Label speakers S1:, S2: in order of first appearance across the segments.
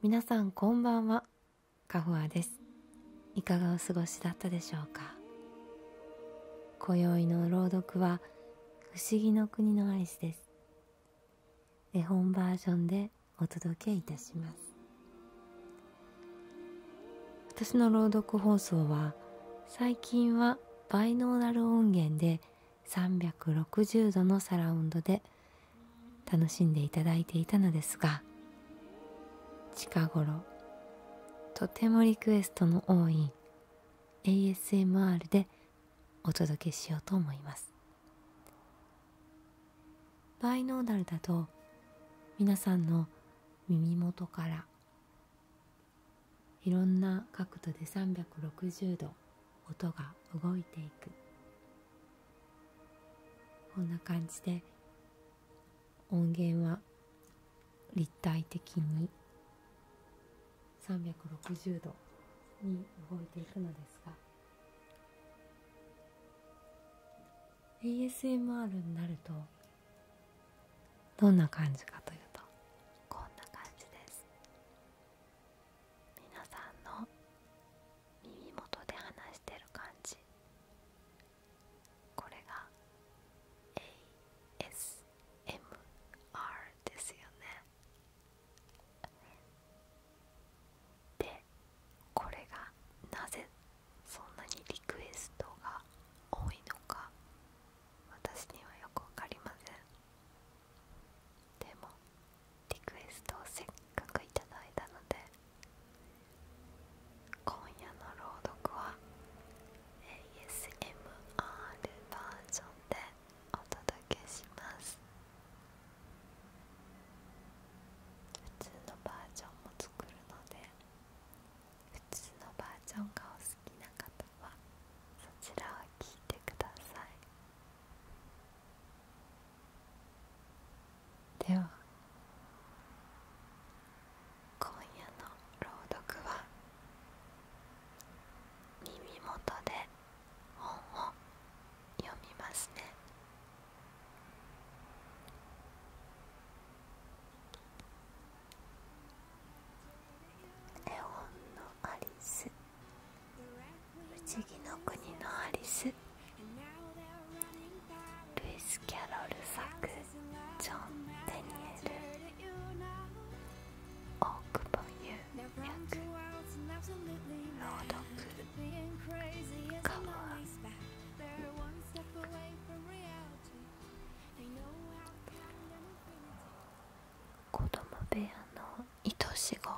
S1: 皆さんこんばんはカフアですいかがお過ごしだったでしょうか今宵の朗読は不思議の国のアイスです絵本バージョンでお届けいたします私の朗読放送は最近はバイノーラル音源で360度のサラウンドで楽しんでいただいていたのですが近頃とてもリクエストの多い ASMR でお届けしようと思いますバイノーダルだと皆さんの耳元からいろんな角度で360度音が動いていくこんな感じで音源は立体的に360度に動いていくのですが ASMR になるとどんな感じかというとこんな感じで
S2: す皆さんの耳元で話してる感じこれが ASMR ですよねでこれがなぜそんなにリクエストが多いのか私にはよくわかりませんでもリクエストをせっかくいただいたので今夜の朗読は ASMR バージョンでお届けします普通のバージョンも作るので普通のバージョンがお好きな方はそちらを聞いてくださいでは今夜の朗読は耳元で本を読みますね絵本のアリス不思議の国のアリスルイス・キャロル作ジョン・デニエル大久保優朗読かわ子供部屋の愛し子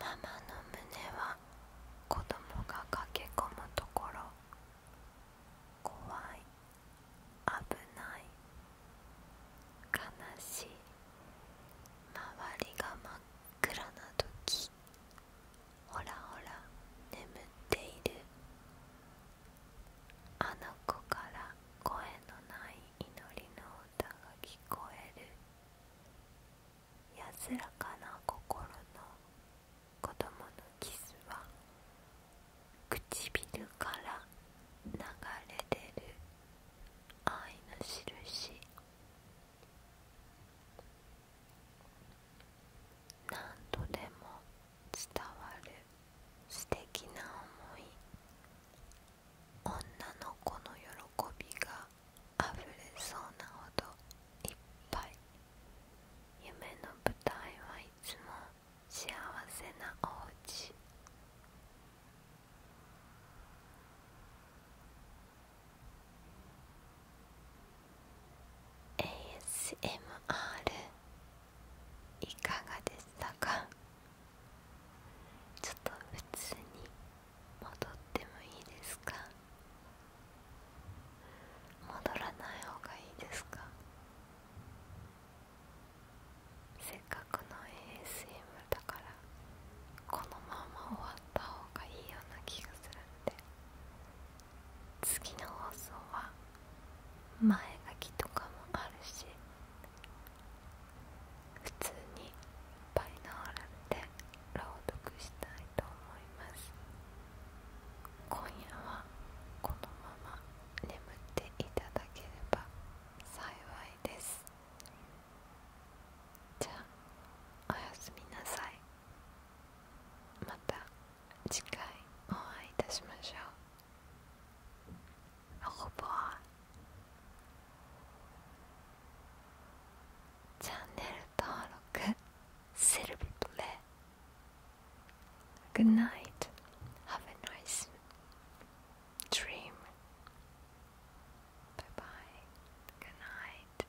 S2: ママの胸は子供が駆け込むところ怖い危ない悲しい周りが真っ暗な時ほらほら眠っているあの子から声のない祈りの歌が聞こえる安らかな心の子供のキスは唇から流れ出る愛の印何度でも伝わる素敵な思い女の子の喜びがあふれそうなほどいっぱい夢の舞台はいつも幸せなおうち「ASMR」いかがでしたかちょっと普通に戻ってもいいですか戻らない方がいいですかせっかくの ASM だからこのまま終わった方がいいような気がするんで次の放送は前書きとかもあるし普通にバイノーラんで朗読したいと思います今夜はこのまま眠っていただければ幸いですじゃあおやすみなさいまた次回お会いいたしましょうほぼチャンネル登録セルビットで。Good night. Have a nice dream. Bye bye. Good night.